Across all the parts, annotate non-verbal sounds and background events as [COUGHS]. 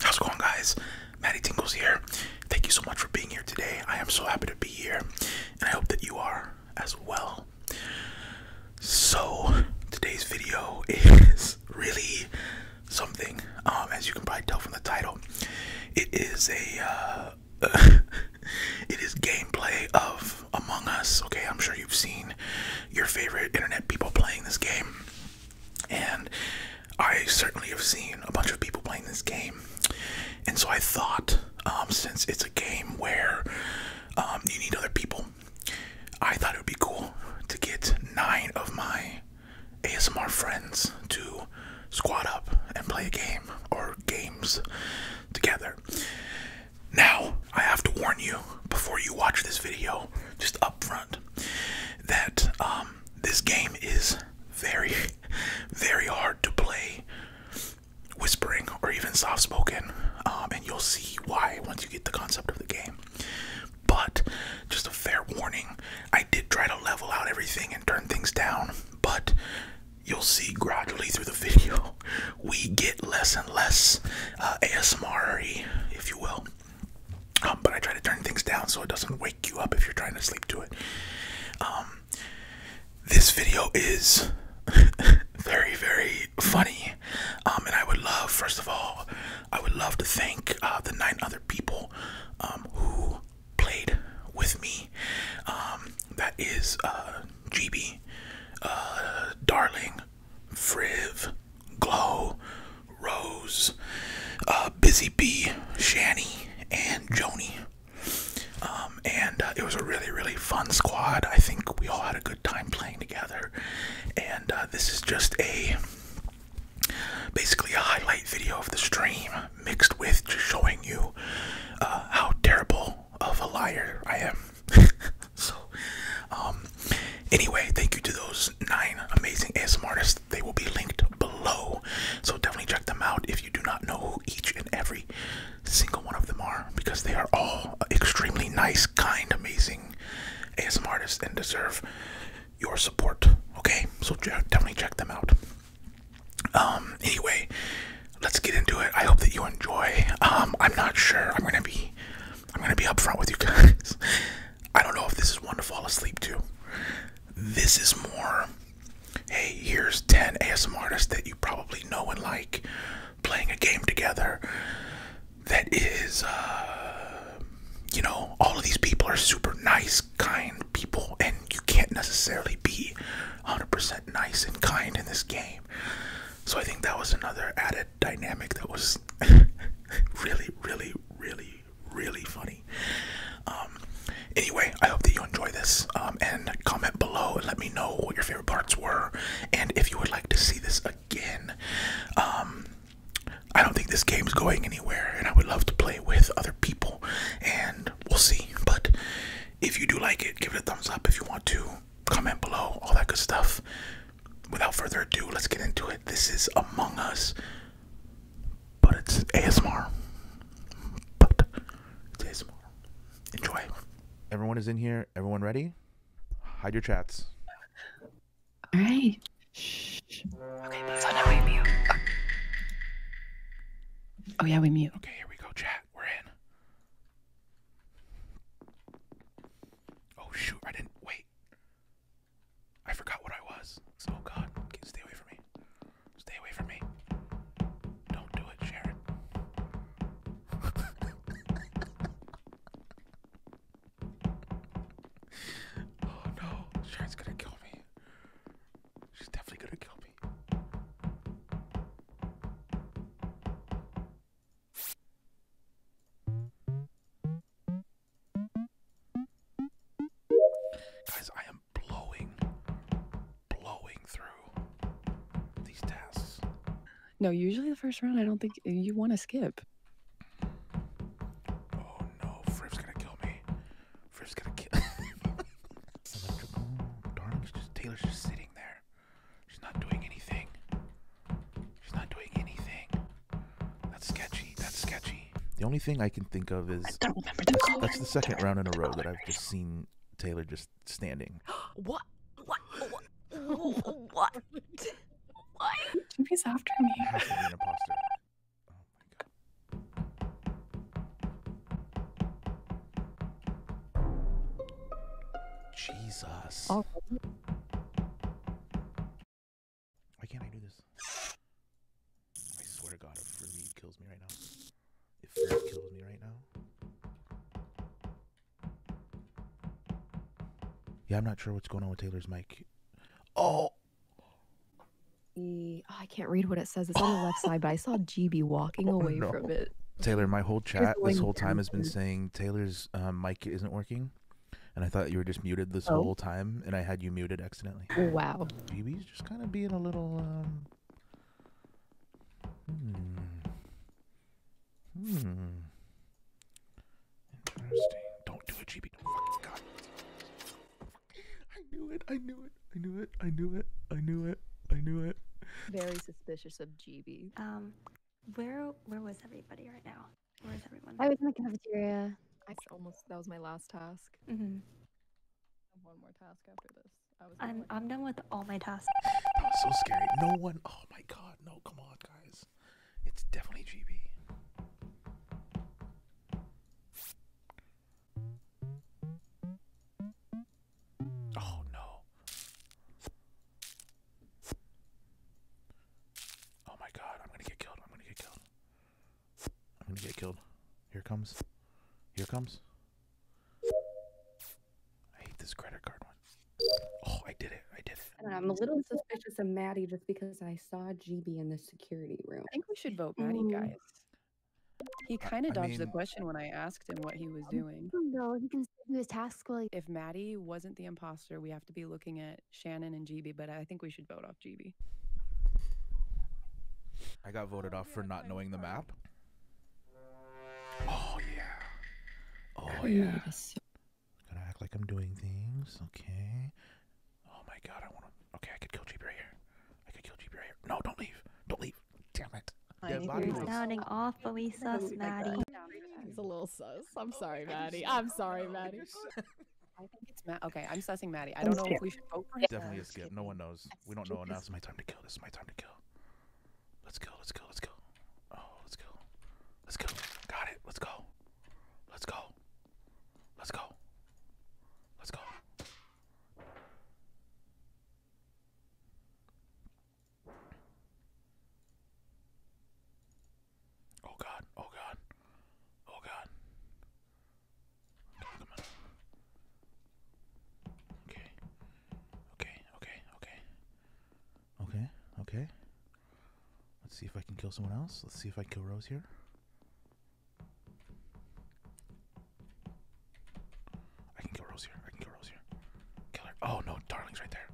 How's it going, guys? Maddie Tingles here. Thank you so much for being here today. I am so happy to be here, and I hope that you are as well. So, today's video [LAUGHS] is really something. Um, as you can probably tell from the title, it is a uh, [LAUGHS] it is gameplay of Among Us. Okay, I'm sure you've seen your favorite internet people playing this game, and I certainly have seen a bunch of people playing this game. And so I thought, um, since it's a game where um, you need other people, I thought it would be cool to get nine of my ASMR friends to squat up and play a game or games together. Now, I have to warn you before you watch this video, just up front, that um, this game is very, [LAUGHS] very hard to play whispering or even soft spoken, um, and you'll see why once you get the concept of the game. But just a fair warning, I did try to level out everything and turn things down, but you'll see gradually through the [LAUGHS] video we get less and less uh, ASMR, if you will. Um, but I try to turn things down so it doesn't wake you up if you're trying to sleep to it. Um, this video is [LAUGHS] very, very funny. Um, and I would love, first of all, I would love to thank uh, the nine other people um, who played with me. Um, that is uh, GB, uh, Darling, Friv, Glow, Rose, Busy Bee, Shanny, and Joni. and it was a really, really fun squad. I think we all had a good time playing together. And this is just a basically a highlight video of the stream mixed with just showing you uh, how terrible of a liar I am. [LAUGHS] so, um, anyway, thank you to those nine amazing ASM artists. They will be linked below. So definitely check them out if you do not know who each and every single one of them are because they are all extremely nice, kind, amazing ASM artists and deserve your support. Okay, so definitely check them out. Um, anyway, let's get into it. I hope that you enjoy. Um, I'm not sure. I'm gonna be, I'm gonna be upfront with you guys. [LAUGHS] I don't know if this is one to fall asleep to. This is more. Hey, here's 10 ASM artists that you probably know and like playing a game together that is, uh, you know, all of these people are super nice, kind people, and you can't necessarily be 100% nice and kind in this game. So I think that was another added dynamic that was [LAUGHS] really, really, really, really funny. Um, anyway, I hope that you enjoy this um, and comment below and let me know what your favorite parts were and if you would like to see this um, I don't think this game is going anywhere, and I would love to play with other people, and we'll see. But if you do like it, give it a thumbs up if you want to. Comment below, all that good stuff. Without further ado, let's get into it. This is Among Us, but it's ASMR. But it's ASMR. Enjoy. Everyone is in here. Everyone ready? Hide your chats. All right. Shh. Okay, so now we mute. Oh. yeah, we mute. Okay, here we go, chat. We're in. Oh shoot, I didn't wait. I forgot what I was. oh, god, stay away from me. Stay away from me. Don't do it, Sharon. [LAUGHS] oh no, Shine's gonna kill me. She's definitely gonna kill me. Guys, I am blowing, blowing through these tasks. No, usually the first round, I don't think you want to skip. Oh no, Fripp's gonna kill me. Fripp's gonna kill. [LAUGHS] Taylor's just sitting there. She's not doing anything. She's not doing anything. That's sketchy. That's sketchy. The only thing I can think of is I don't remember the that's the second round in a row that I've just seen Taylor just standing. [GASPS] what? What? What? What? Why? She's after me. has to be an imposter. Oh Jesus. Oh. Why can't I do this? I swear to God, if Ruby kills me right now. If that kills me right now. Yeah, I'm not sure what's going on with Taylor's mic. Oh! oh I can't read what it says. It's on the left side, but I saw GB [LAUGHS] walking oh, away from it. Taylor, my whole chat this whole time has been saying Taylor's uh, mic isn't working, and I thought you were just muted this oh. whole time, and I had you muted accidentally. Wow. GB's just kind of being a little um, Hmm. Interesting. Don't do it, GB. I knew it. I knew it. I knew it. I knew it. I knew it. I knew it. Very suspicious of GB. Um, where where was everybody right now? Where is everyone? I was in the cafeteria. I almost that was my last task. Mm-hmm. One more task after this. I am I'm done with all my tasks. That was so scary. No one. Oh my god. No. Come on, guys. It's definitely GB. Oh no. Oh my god, I'm gonna get killed. I'm gonna get killed. I'm gonna get killed. Here comes. Here comes. I hate this credit card one. Oh, I did it. I did it. I am a little suspicious of Maddie just because I saw GB in the security room. I think we should vote mm. Maddie, guys. He kind of dodged the question when I asked him what he was um, doing. Oh, no, he can do his tasks while If Maddie wasn't the imposter, we have to be looking at Shannon and GB, but I think we should vote off GB. I got voted off for not knowing the map. Oh yeah. Oh yeah. Gonna act like I'm doing things. Okay. Oh my god, I wanna okay, I could kill Jeep right here. I could kill Jeep right here. No, don't leave. Don't leave. Damn it. You're sounding awfully sus, Maddie. It's a little sus. I'm oh, sorry, Maddie. I'm sorry, Maddie. I think it's Matt. Okay, I'm sussing Maddie. I don't know if we should vote for him. Definitely a skip. No one knows. We don't know enough. It's my time to kill. This is my time to kill. Let's go. Let's go. Let's go. Oh, let's go. Let's go. Got it. Let's go. Let's go. Let's go. Let's go. Oh god. Oh god. Oh god. Come on. Okay. Okay, okay, okay. Okay, okay. Let's see if I can kill someone else. Let's see if I can kill Rose here. I can kill Rose here. I can kill Rose here. Kill her. Oh no, darling's right there.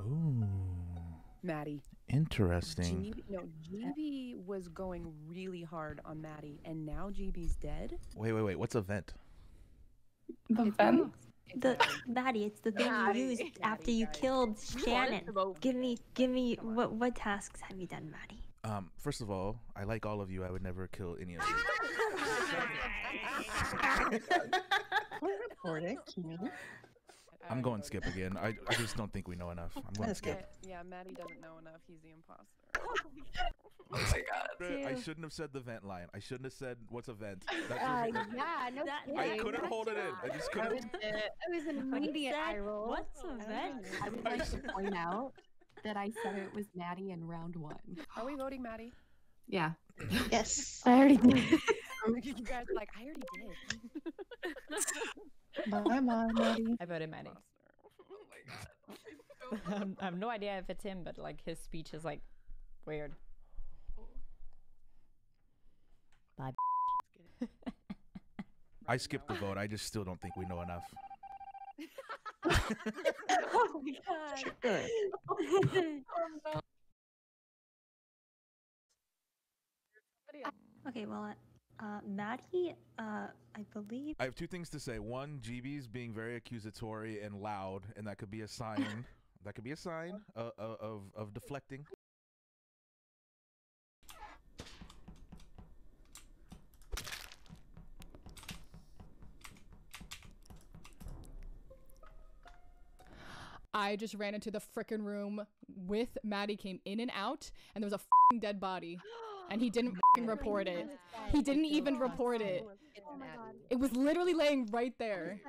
Oh. Maddie, Interesting. GB, no, GB was going really hard on Maddie, and now GB's dead. Wait, wait, wait. What's event? The vent. The Maddie, it's the thing you used after you [LAUGHS] killed Shannon. Give me, give me. What what tasks have you done, Maddie? Um, first of all, I like all of you. I would never kill any of you. [LAUGHS] We're recording. I'm I going skip again. I, I just don't think we know enough. I'm going skip. Yeah, Maddie doesn't know enough. He's the imposter. [LAUGHS] oh my god. Oh I shouldn't have said the vent line. I shouldn't have said what's a vent. Uh, yeah, no I couldn't hold it in. I just couldn't. [LAUGHS] It was an immediate eye roll. What's a oh vent? I would like to [LAUGHS] point out that I said it was Maddie in round one. Are we voting Maddie? Yeah. yes. I already did. you guys like, I already did. I voted Maddie. Oh [LAUGHS] um, I have no idea if it's him, but like his speech is like weird. Bye. [LAUGHS] I skipped the vote. I just still don't think we know enough. [LAUGHS] oh my god. Uh, okay, well, uh, Maddie, uh, I believe. I have two things to say. One, GB's being very accusatory and loud, and that could be a sign. [COUGHS] that could be a sign uh, of, of deflecting. I just ran into the frickin' room with Maddie, came in and out, and there was a dead body. And he didn't [GASPS] report it. He didn't even report it. Oh oh it was literally laying right there.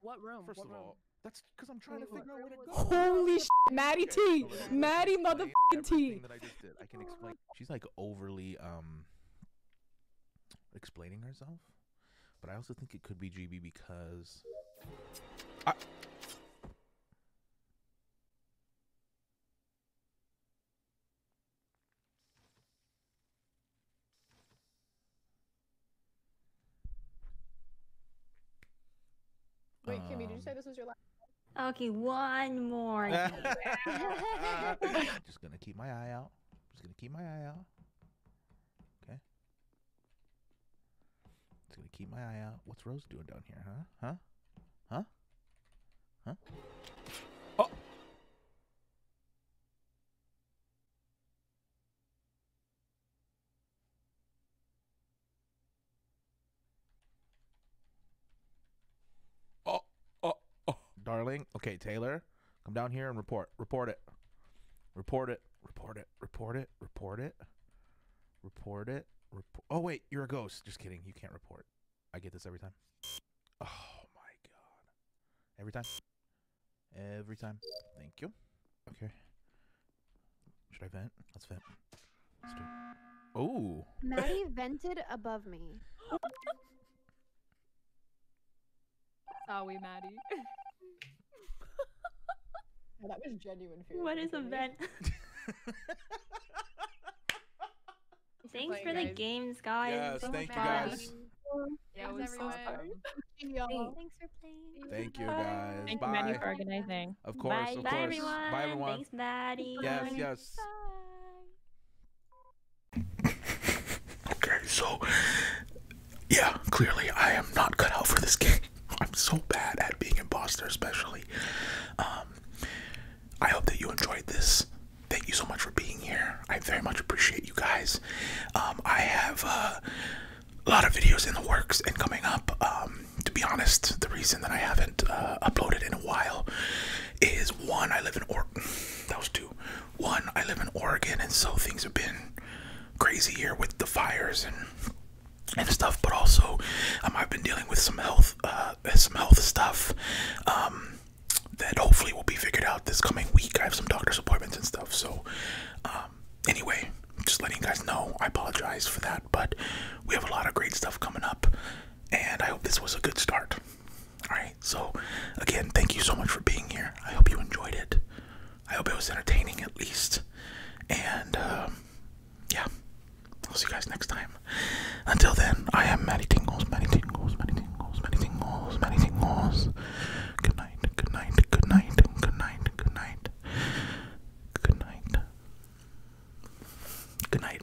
What room? First of all, that's because I'm trying to Holy Maddie T, Maddie motherfucking T. She's like overly um explaining herself. But I also think it could be GB because. Wait, Kimmy, did you say um, this was your last? Oh, okay, one more. [LAUGHS] [LAUGHS] just gonna keep my eye out. Just gonna keep my eye out. Okay. Just gonna keep my eye out. What's Rose doing down here, huh? Huh? Huh? Huh? Oh! Oh, oh, oh. Darling. Okay, Taylor. Come down here and report. Report it. Report it. Report it. Report it. Report it. Report it. Oh wait, you're a ghost. Just kidding. You can't report. I get this every time. Oh my god. Every time. Every time. Thank you. Okay. Should I vent? Let's vent. Let's do Oh. Maddie vented above me. [LAUGHS] Sorry, Maddie. that was genuine fear. What is a vent? [LAUGHS] Thanks for the games, guys. Yes, thank you guys. Yeah, everyone. Thanks for playing. Thank you guys. Thank you, Maddie, for organizing. Of course, Bye. Bye, Everyone. Bye, everyone. Thanks, Maddie. Yes, yes. Bye okay, so yeah, clearly I am not cut out for this game. [LAUGHS] I'm so bad at being a imposter, especially. Um, I hope that you enjoyed this. Thank you so much for being here. I very much appreciate you guys. Um, I have uh, a lot of videos in the works and coming up. Um, to be honest, the reason that I haven't uh, uploaded in a while is one, I live in Oregon. [LAUGHS] That was two one, I live in Oregon, and so things have been crazy here with the fires and and stuff. But also, um, I've been dealing with some health, uh, uh, some health stuff um, that hopefully will be figured out this coming week. I have some doctor's appointments and stuff. So, um, anyway, just letting you guys know. I apologize for that, but we have a lot of great stuff coming up, and I hope this was a good start. All right. So, again, thank you so much for being here. I hope you enjoyed it. I hope it was entertaining at least. And um, yeah, I'll see you guys next time. Until then, I am Matty Tingles, Matty Tingles, Matty Tingles, Matty Tingles, Matty Tingles. Good night, good night, good night, good night, good night, good night, good night.